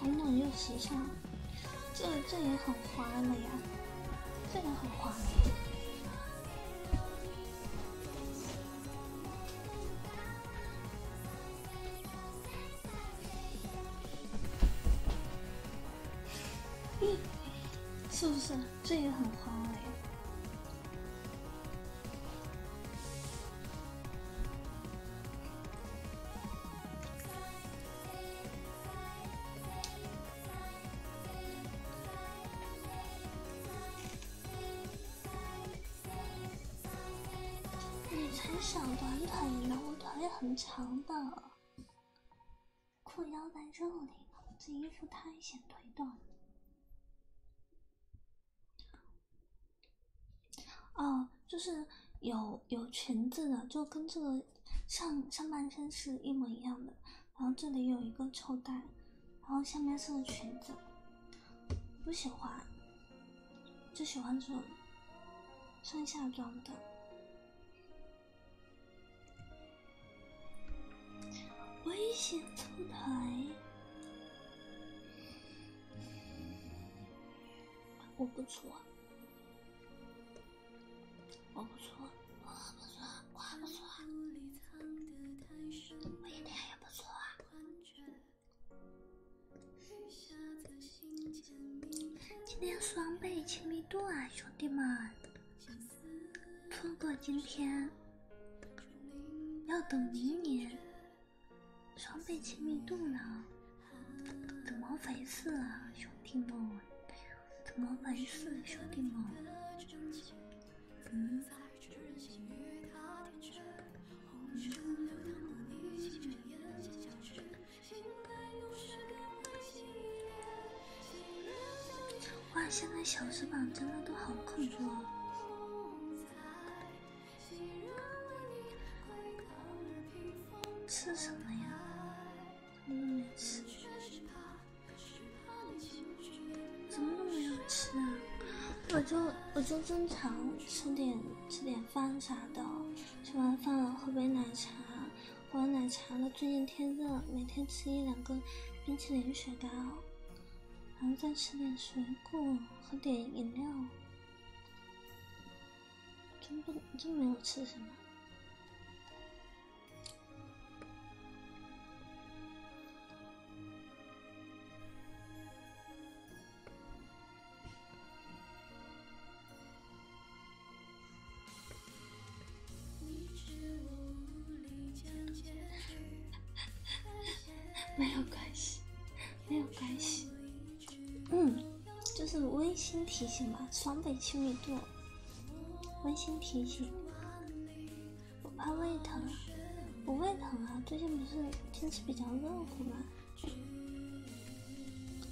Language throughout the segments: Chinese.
保暖又时尚，这这也很滑了呀，这也很花。是不是这也很花嘞？你才小短腿呢，我腿很长的。裤腰在这里这衣服太显腿短了。哦，就是有有裙子的，就跟这个上上半身是一模一样的，然后这里有一个抽带，然后下面是个裙子，不喜欢，就喜欢这种上下装的。危险出台，我不错，我不错，我不错，我不错，我一点也不错啊。今天双倍亲密度啊，兄弟们！错过今天，要等明年双倍亲密度呢？怎么回事啊，兄弟们？怎么回事，兄弟们？哇，现在小时榜真的都好恐怖啊！吃什么呀？什么都没吃，什么都没有吃啊！我就我就正常吃点吃点饭啥的，吃完饭了喝杯奶茶。喝奶茶了，最近天热，每天吃一两个冰淇淋雪糕，然后再吃点水果，喝点饮料，真不真没有吃什么。没有关系，没有关系，嗯，就是温馨提醒嘛，双倍亲密度，温馨提醒。我怕胃疼，我胃疼啊！最近不是天气比较热乎吗？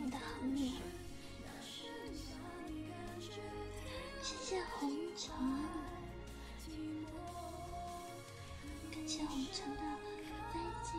我的好女儿，谢谢红尘，感谢红尘的背景。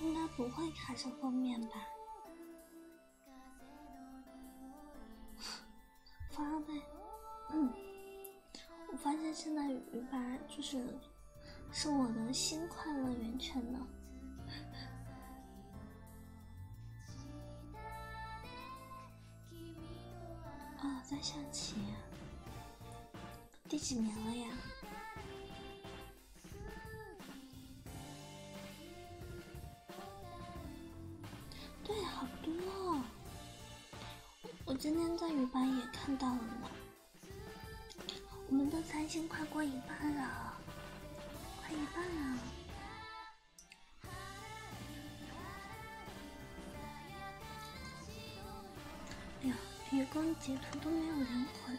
应该不会卡在后面吧。发呗，嗯，我发现现在鱼吧，就是是我的新快乐源泉呢。哦，在下棋，第几名了呀？对，好多。我今天在鱼吧也看到了呢。我们的三星快过一半了，快一半了。哎呀，雨光截图都没有灵魂。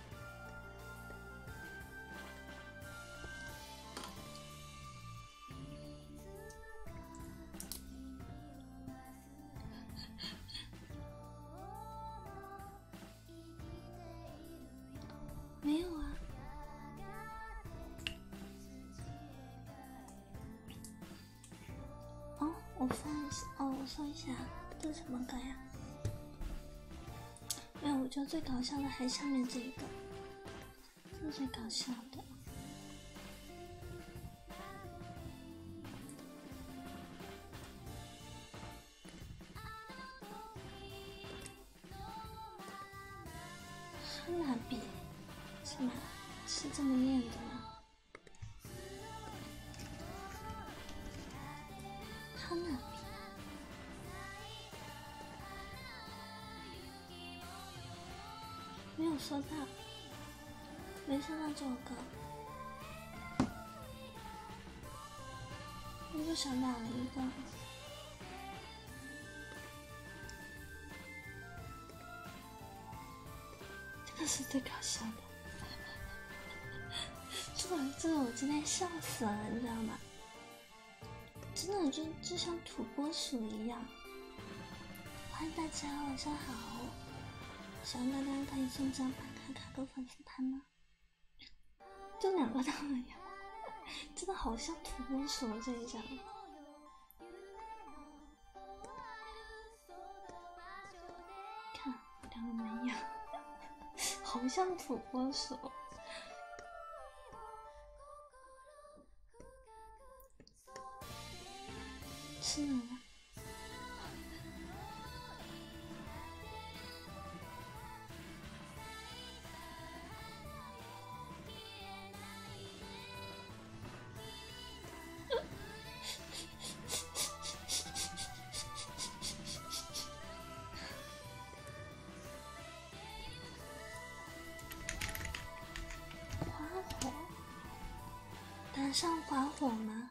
没有啊！哦，我放一下，哦，我放一下，这是什么歌呀？没有，我觉得最搞笑的还下面这一个，是最搞笑的。哈拉比，是吗？是这么念的吗？他那边没有收到，没收到这首歌，我又想打了一个，这个是最搞笑的，这这个我今天笑死了，你知道吗？真的就就像土拨鼠一样。欢迎大家晚上好，希望大家可以送张板卡，卡个粉丝团呢。就两个大门呀，真的好像土拨鼠这一张。看，两个门牙。好像土拨鼠，是哪了？花火，打上花火吗？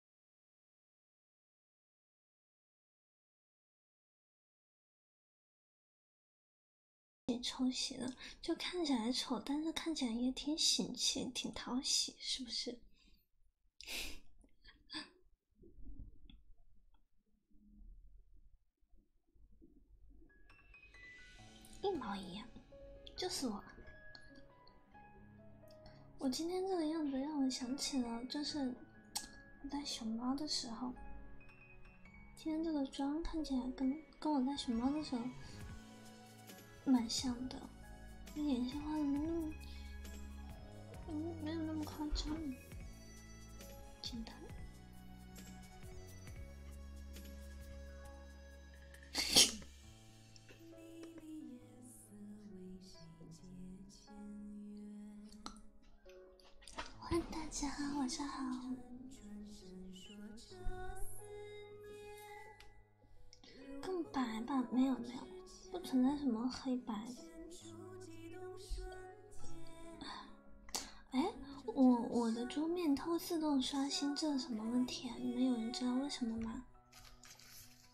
被抄的，就看起来丑，但是看起来也挺喜气，挺讨喜，是不是？一毛一样，就是我。我今天这个样子让我想起了，就是。我戴熊猫的时候，今天这个妆看起来跟跟我戴熊猫的时候蛮像的。我眼线画的没那么，没没有那么夸张，简单。欢迎大家，晚上好。更白吧？没有没有，不存在什么黑白。哎，我我的桌面它会自动刷新，这是什么问题啊？你们有人知道为什么吗？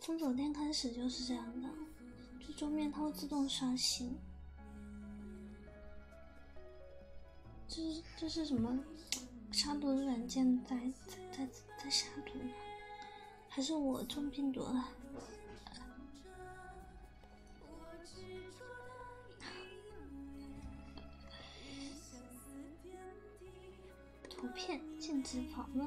从昨天开始就是这样的，这桌面它会自动刷新，这是这是什么杀毒软件在在在在杀毒呢？还是我中病毒了？图片禁止访问。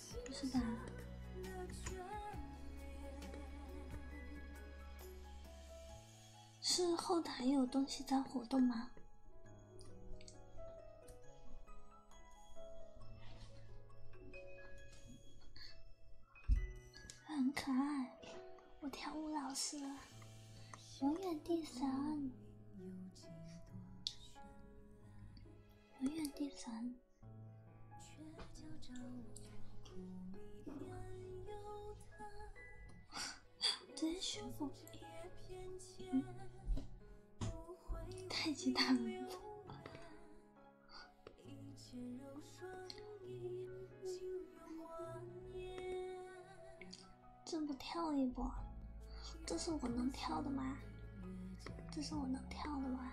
是吧？是后台有东西在活动吗？很可爱，我跳舞老师永远第三，永远第三。真是不，太极大门，这不跳一波？这是我能跳的吗？这是我能跳的吗？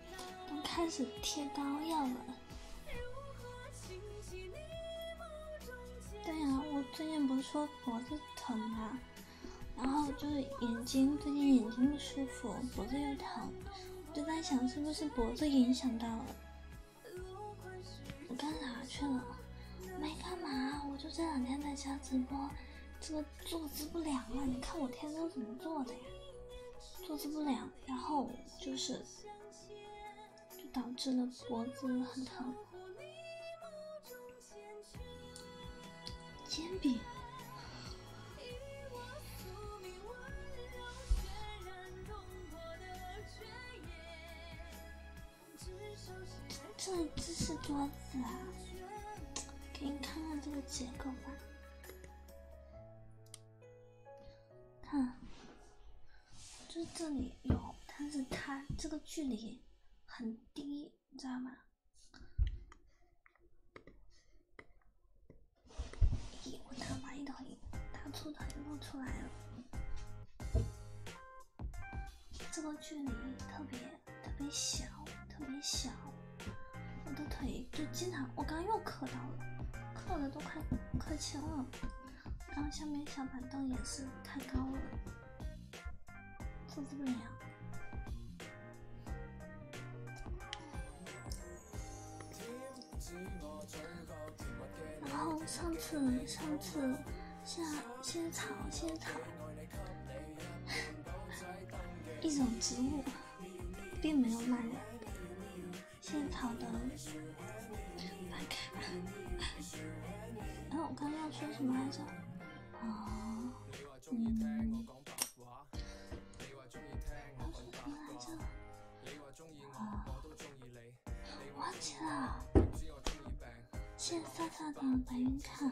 都开始贴膏药了。对呀，我最近不是说脖子疼吗？然后就是眼睛最近眼睛不舒服，脖子又疼，就在想是不是脖子影响到了。我干啥去了？没干嘛，我就这两天在家直播。这个。坐姿不良啊！你看我天生怎么坐的呀？坐姿不良，然后就是就导致了脖子很疼。煎饼，这这是桌子啊？给你看看这个结构吧。看，就这里有，但是它这个距离很低，你知道吗？咦，我打歪的，腿打错腿露出来了，这个距离特别。特别小，特别小，我的腿就经常，我刚又磕到了，磕的都快磕青了。然后下面小板凳也是太高了，是不个鸟。然后上次上次下仙草仙草，一种植物。并没有人，谢草的发卡。然后我刚刚说什么来着？啊，嗯，刚刚说什么来着？啊，忘记了。谢飒飒的白云看。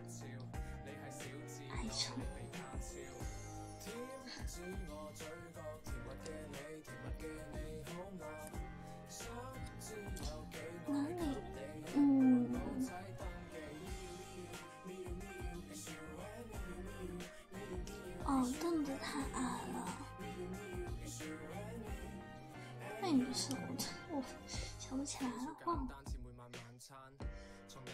爱充哪里？嗯。哦，凳子太矮了。那也不是我，我想不起来了。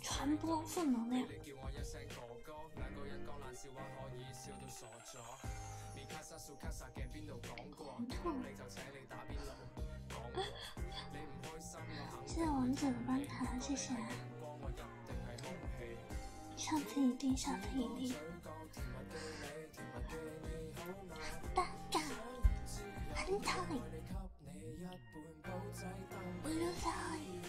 传播负能量。糊涂。谢谢王者的班卡，谢谢。上次一定，上次一定。尴尬。很讨我又在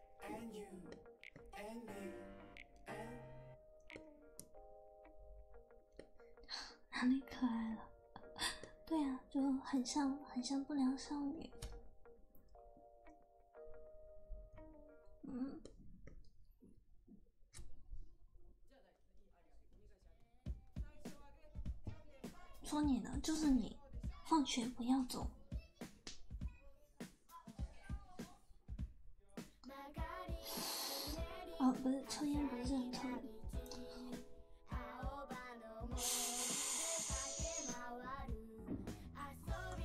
哪里可爱了？对呀，就很像，很像不良少女。嗯，说你呢，就是你，放学不要走。哦，不是，抽烟不是很抽。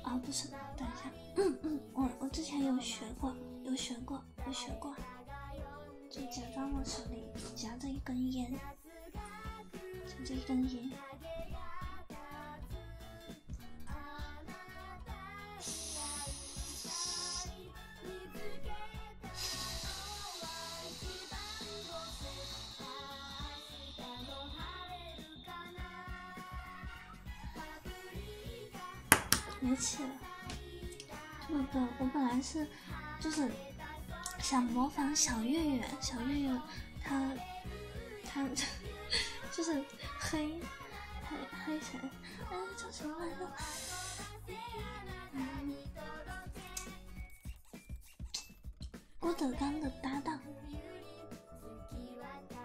啊，不是，等一下，嗯嗯，我我之前有学过，有学过，有学过，就假装我手里夹着一根烟。就这一张脸，没气了。这个我本来是，就是想模仿小月月，小月月。他，他就是黑黑黑谁？哎，叫什么来着？郭德纲的搭档，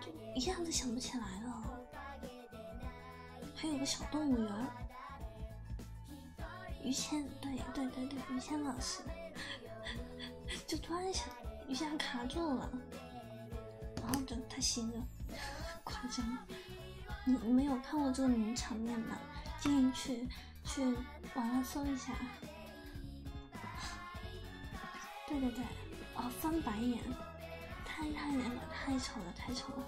就一下子想不起来了。还有个小动物园儿，于谦，对对对对，于谦老师，就突然想。一下卡住了，然后就他醒 了，夸张。你没有看过这个名场面吗？建议去去网上搜一下。对对对，哦，翻白眼，太吓人了，太丑了，太丑了。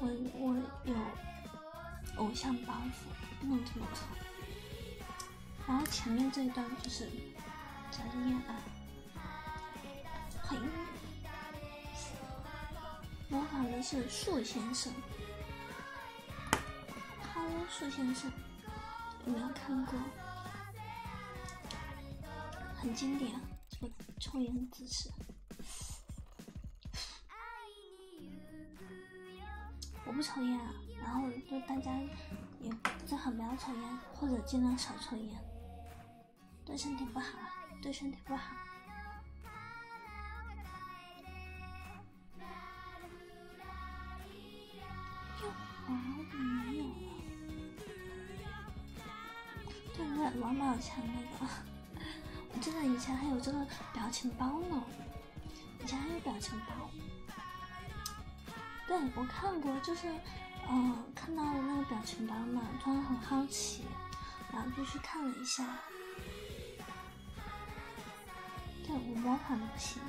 我我有偶像包袱，不能这么丑。然后前面这一段就是小心烟啊？呸！模仿的是树先生，l o 树先生，有没有看过？很经典，这个抽烟姿势。我不抽烟啊，然后就大家。也最好不要抽烟，或者尽量少抽烟，对身体不好，对身体不好。王宝强那个，我记得以前还有这个表情包呢。以前还有表情包，对我看过，就是，嗯，看到了那个表情包嘛，突然很好奇，然后就去看了一下。对我模仿的不行。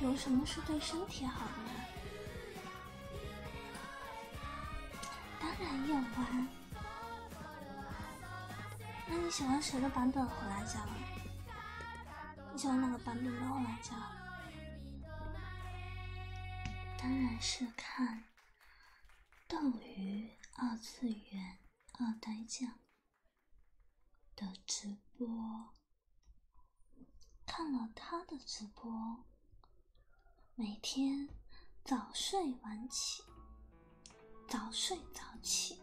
有什么是对身体好的吗？当然有啊。那你喜欢谁的版本火辣椒？你喜欢哪个版本的火辣椒？当然是看斗鱼二次元二代酱的直播，看了他的直播，每天早睡晚起，早睡早起。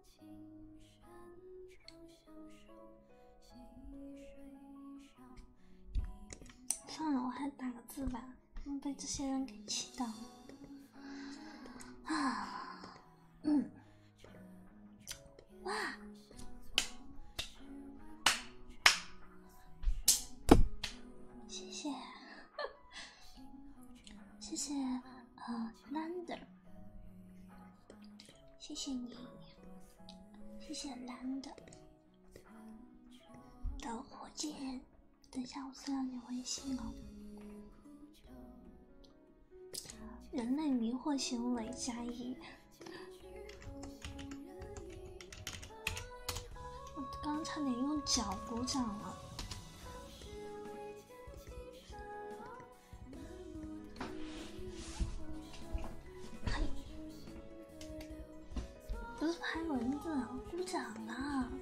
算了，我还打个字吧。被这些人给气到了。啊，嗯，哇，谢谢。谢谢呃 l a n d e r 谢谢你，谢谢 Lander，的火箭，等一下我私聊你微信哦。人类迷惑行为加一，我刚差点用脚鼓掌了。不是拍蚊子，鼓掌呢！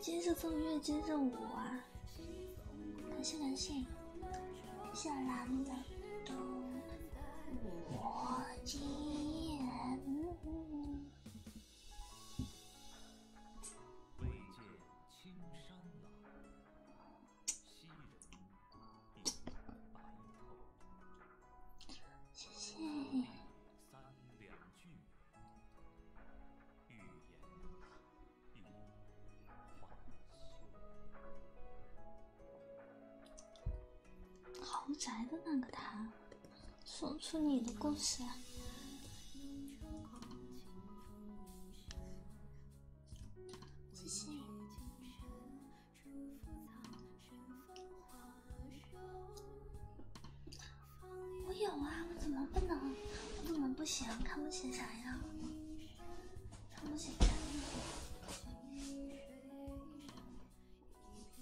接着奏乐，接着舞啊！感谢感谢，谢谢蓝的，我惊未见青山老，昔人已白头。谢谢。豪宅的那个他。说出你的故事。我有啊，我怎么不能？我怎么不行？看不起啥呀？看不起啥呀？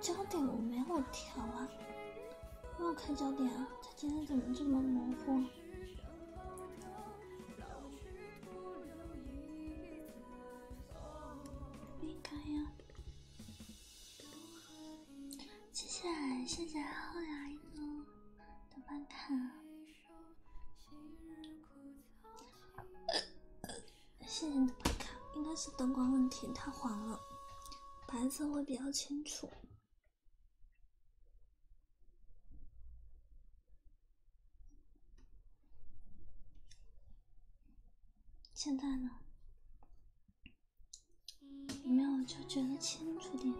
焦点我没有调啊，没有开焦点啊，他今天怎么这么模糊？没开呀。谢谢谢谢，后一个的办卡。谢谢你的白卡，应该是灯光问题，太黄了，白色会比较清楚。现在呢？有没有，就觉得清楚点。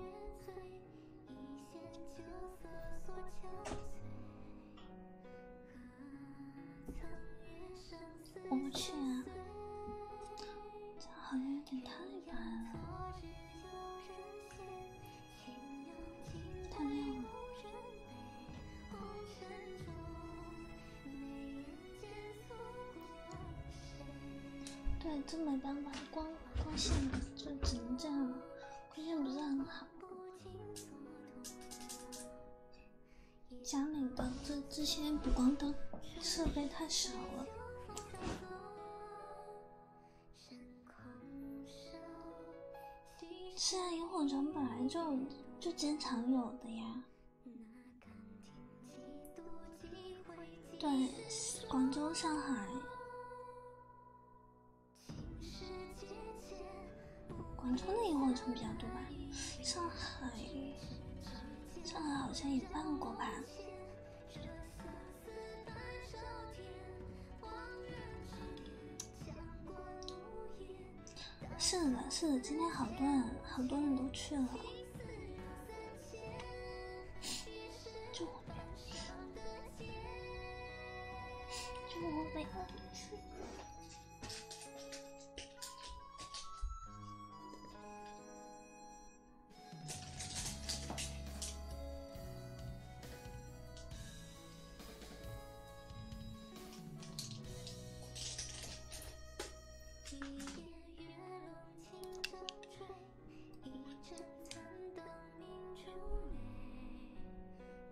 我不去，啊，这好像有点太白了。太亮了。对，这没办法，光光线就只能这样了，光线不是很好。家里的这这些补光灯设备太少了。是啊，萤火虫本来就就经常有的呀。对，广州、上海。广州的萤火虫比较多吧？上海，上海好像也办过吧？是的，是的，今天好多人，好多人都去了，就我没就我没一夜月笼轻风坠，一盏残灯明烛泪。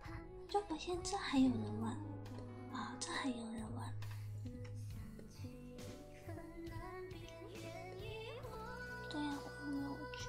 好。就发现这还有人玩啊，这还有人问。对呀，我没有去。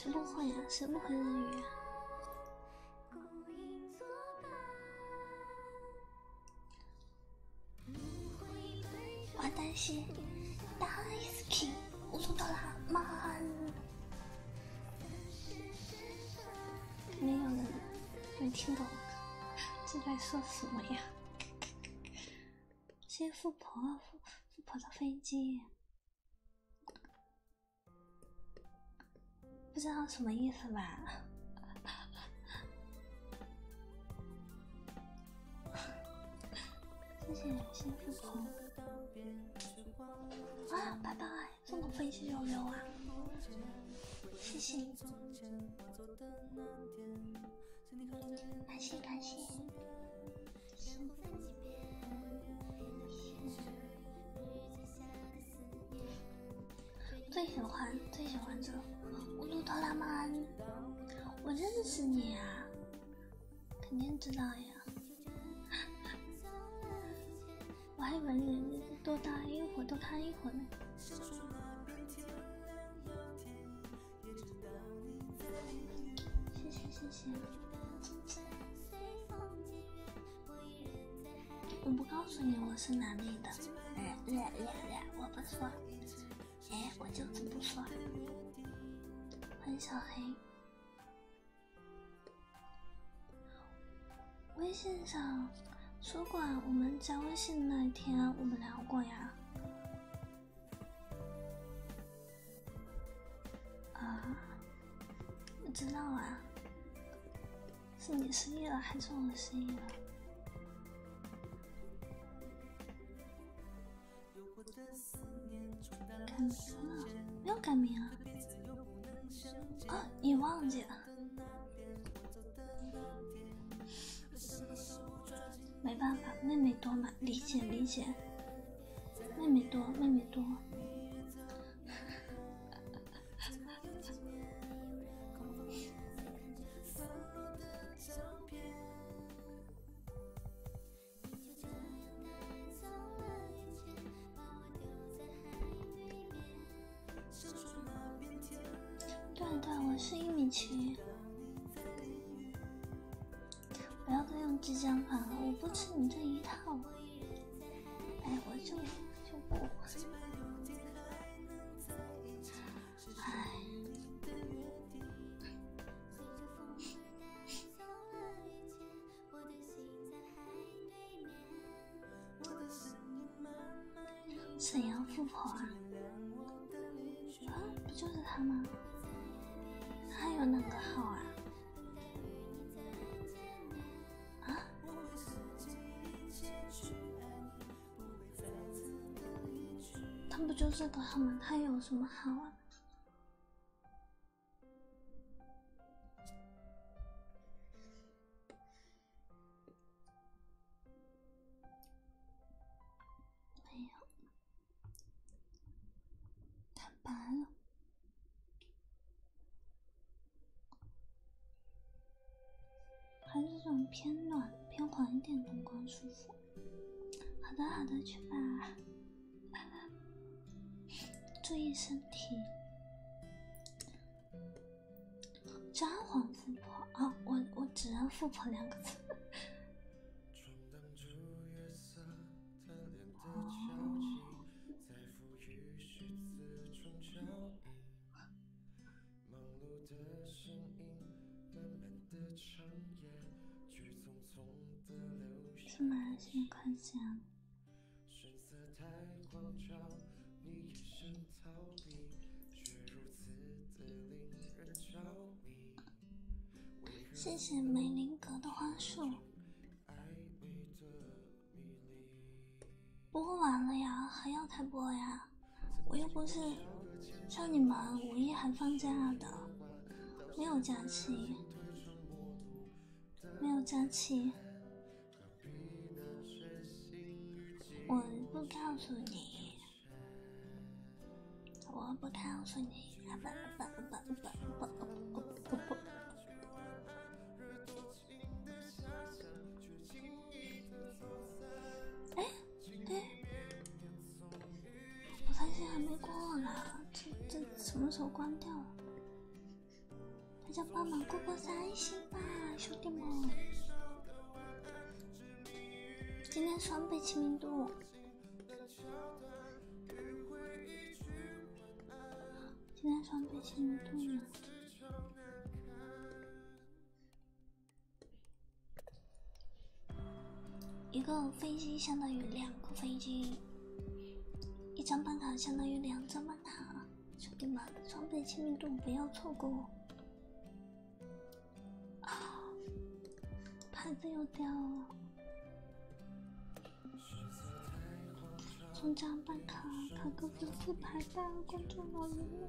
什么话呀？什么黑人鱼啊？我担心，Daisy，我录到了没有人能听懂，这在说什么呀？谢富婆，富富婆的飞机，不知道什么意思吧？谢谢新富婆，啊，拜拜。送个飞机就溜啊！谢谢，感谢感谢。最喜欢最喜欢这乌托拉曼，我认识你啊，肯定知道呀。我还以为你多待一会儿，多看一会儿呢。谢谢谢谢。我不告诉你我是哪里的。哎，我不说。哎，我就是不说。欢迎小黑。微信上，说过，我们加微信那一天我们聊过呀。啊，我知道啊，是你失忆了还是我失忆了？改名了？没有改名啊？啊，你忘记了？没办法，妹妹多嘛，理解理解，妹妹多，妹妹多。对对，我是一米七。不要再用激将法了，我不吃你这一套。哎，我就就不。哎。沈阳富婆啊，啊，不就是他吗？他有哪个号啊？啊？他不就是个号吗？他有什么好啊？没有，太白了，还是这种偏暖、偏黄一点的灯光舒服。好的，好的，去吧，注意身体。专黄富婆啊！我我只认富婆两个字。怎么现在看见？谢谢梅林格的花束。不过晚了呀，还要开播呀！我又不是像你们五一还放假的，没有假期，没有假期。我不告诉你，我不告诉你，爸爸爸爸爸爸爸爸爸爸。哎哎，我担心还没过呢，这这什么时候关掉？大家帮忙过过三星吧，兄弟们！今天双倍亲密度，今天双倍亲密度呢？一个飞机相当于两个飞机，一张办卡相当于两张办卡。兄弟们，装备亲密度不要错过哦！啊，牌子又掉了。中奖办卡卡哥哥四排单关注老余。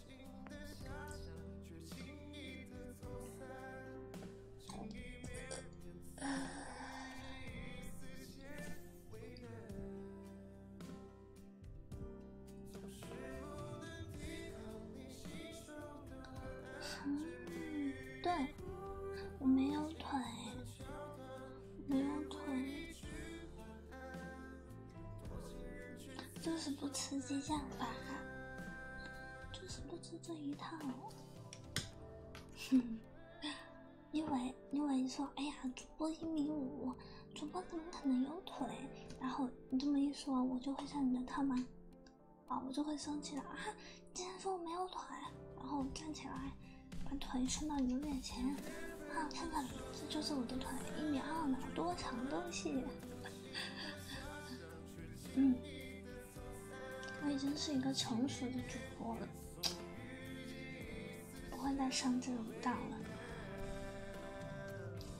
嗯，对，我没有腿，没有腿。就是不吃激将法，就是不吃这一套。哼，因为因为你说，哎呀，主播一米五，主播怎么可能有腿？然后你这么一说，我就会上你的套吗？啊，我就会生气了啊！竟然说我没有腿，然后站起来把腿伸到你的面前，啊，看看，这就是我的腿，一米二呢，多长都是。嗯，我已经是一个成熟的主播了，不会再上这种当了。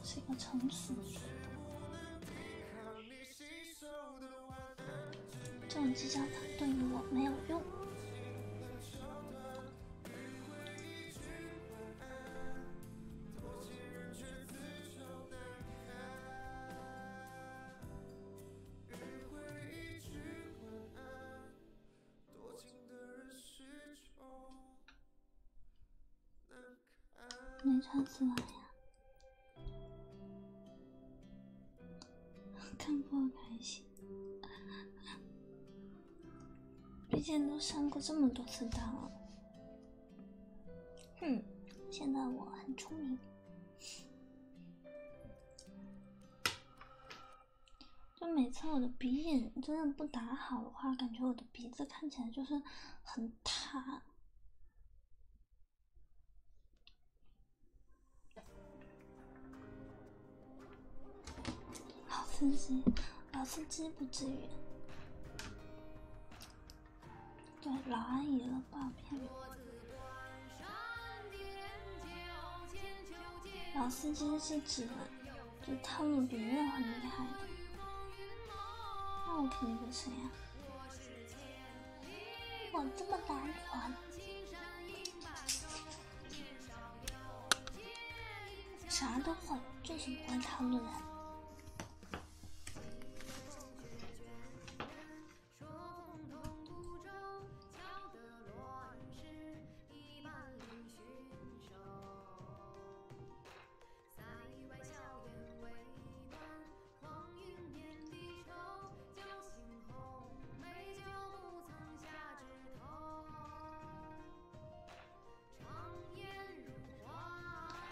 是一个成熟的，主播，这种计较法对于我没有用。没穿错呀，看不开心，毕竟都上过这么多次当了。哼，现在我很聪明。就每次我的鼻影真的不打好的话，感觉我的鼻子看起来就是很塌。老司机，老司机，不至于。对老阿姨了，不好骗。老司机是指就汤姆比人很厉害的，那我肯定不行呀！我这么单纯，啥都会，就什么会汤的人。一夜风雪卷卷，说红通孤舟，敲得乱世，一板嶙峋瘦塞外硝烟未断。黄云遍地愁，将新红美酒不曾下枝头。长烟入画。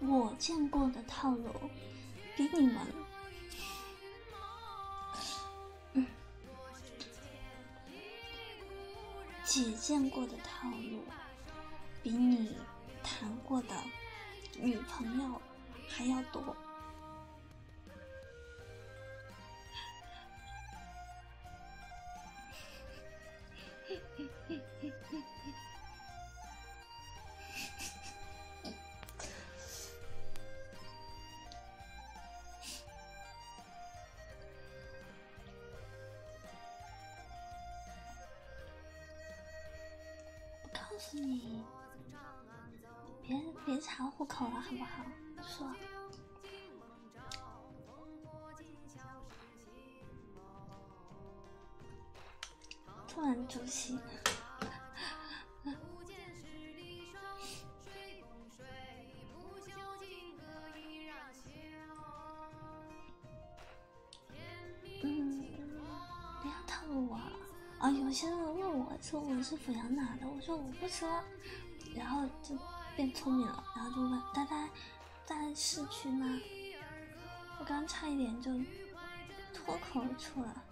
我见过的套路，比你们，嗯，姐见过的套路，比你谈过的女朋友还要多。嘿嘿嘿嘿嘿。我告诉你，别别查户口了，好不好？说。突然窒息。嗯，不要套路我！啊，有些人问我，说我是阜阳哪的，我说我不说，然后就变聪明了，然后就问呆呆在市区吗？我刚差一点就脱口而出了，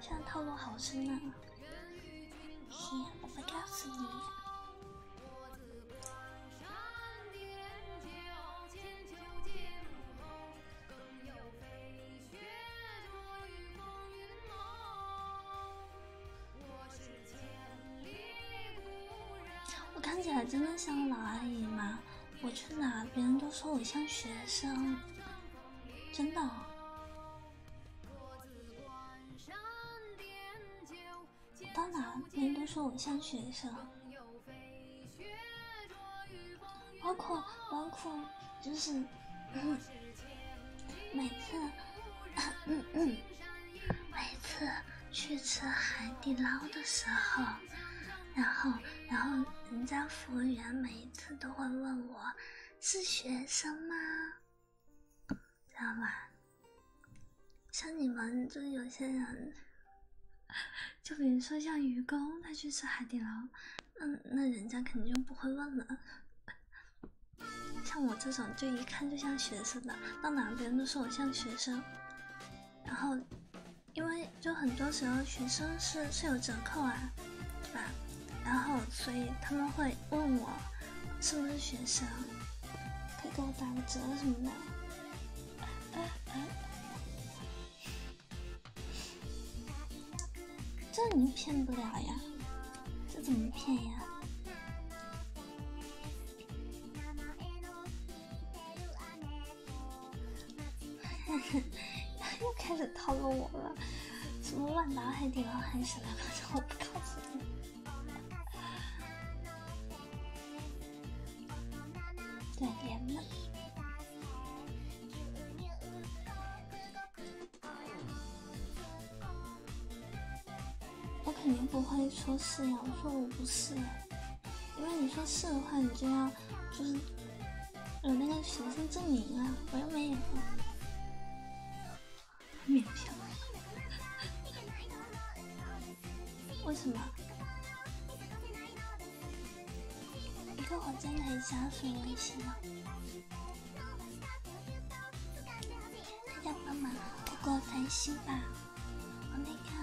现在套路好深啊！嘿，我告诉你。我看起来真的像老阿姨吗？我去哪，别人都说我像学生，真的。到哪，别人都说我像学生。包括，包括，就是嗯、每次，嗯嗯，每次去吃海底捞的时候。然后，然后人家服务员每一次都会问我是学生吗，知道吧？像你们就是有些人，就比如说像愚公他去吃海底捞，那那人家肯定就不会问了。像我这种就一看就像学生的，到哪边都说我像学生，然后。因为就很多时候学生是是有折扣啊，对吧？然后所以他们会问我是不是学生，可以给我打个折什么的。这你骗不了呀，这怎么骗呀？又开始套路我了，什么万达海底捞还是来？反正我不告诉你。对，连吗？我肯定不会说是呀，我说我不是，因为你说是的话，你就要就是。有那个学生证明啊，我又没有免票，为什么？一个火箭以加水就行了，大家帮忙，不过分心吧，我没开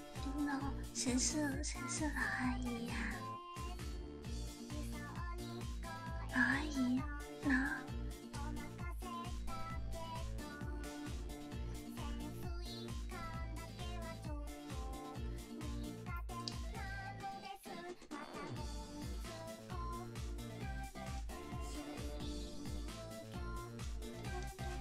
嗯，老谁是谁是老阿姨呀？老阿姨，老。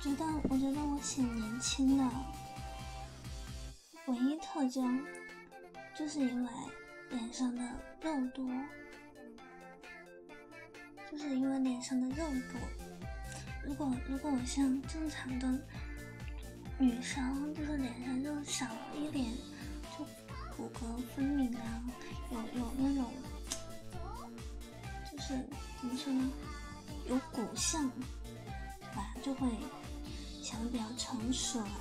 觉得我觉得我挺年轻的唯一特征，就是因为脸上的肉多，就是因为脸上的肉多。如果如果我像正常的女生，就是脸上肉少一点，就骨骼分明啊，有有那种。就是怎么说呢，有骨相吧，就会显得比较成熟了。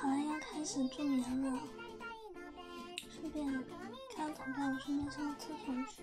好了，要开始助眠了，顺便，跳床在我身面上厕所去。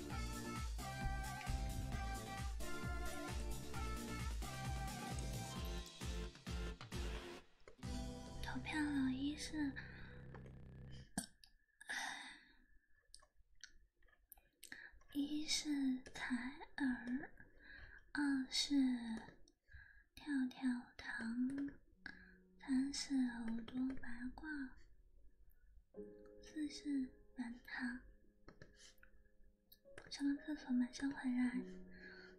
投票了，一是，一是采耳，二是跳跳糖，三是耳朵八挂，四是软糖。上完厕所马上回来，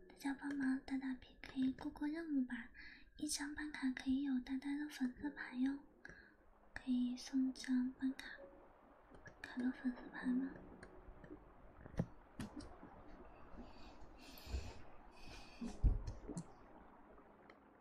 大家帮忙打打 PK，过过任务吧。一张办卡可以有丹丹的粉丝牌哟，可以送张办卡，卡到粉丝牌吗？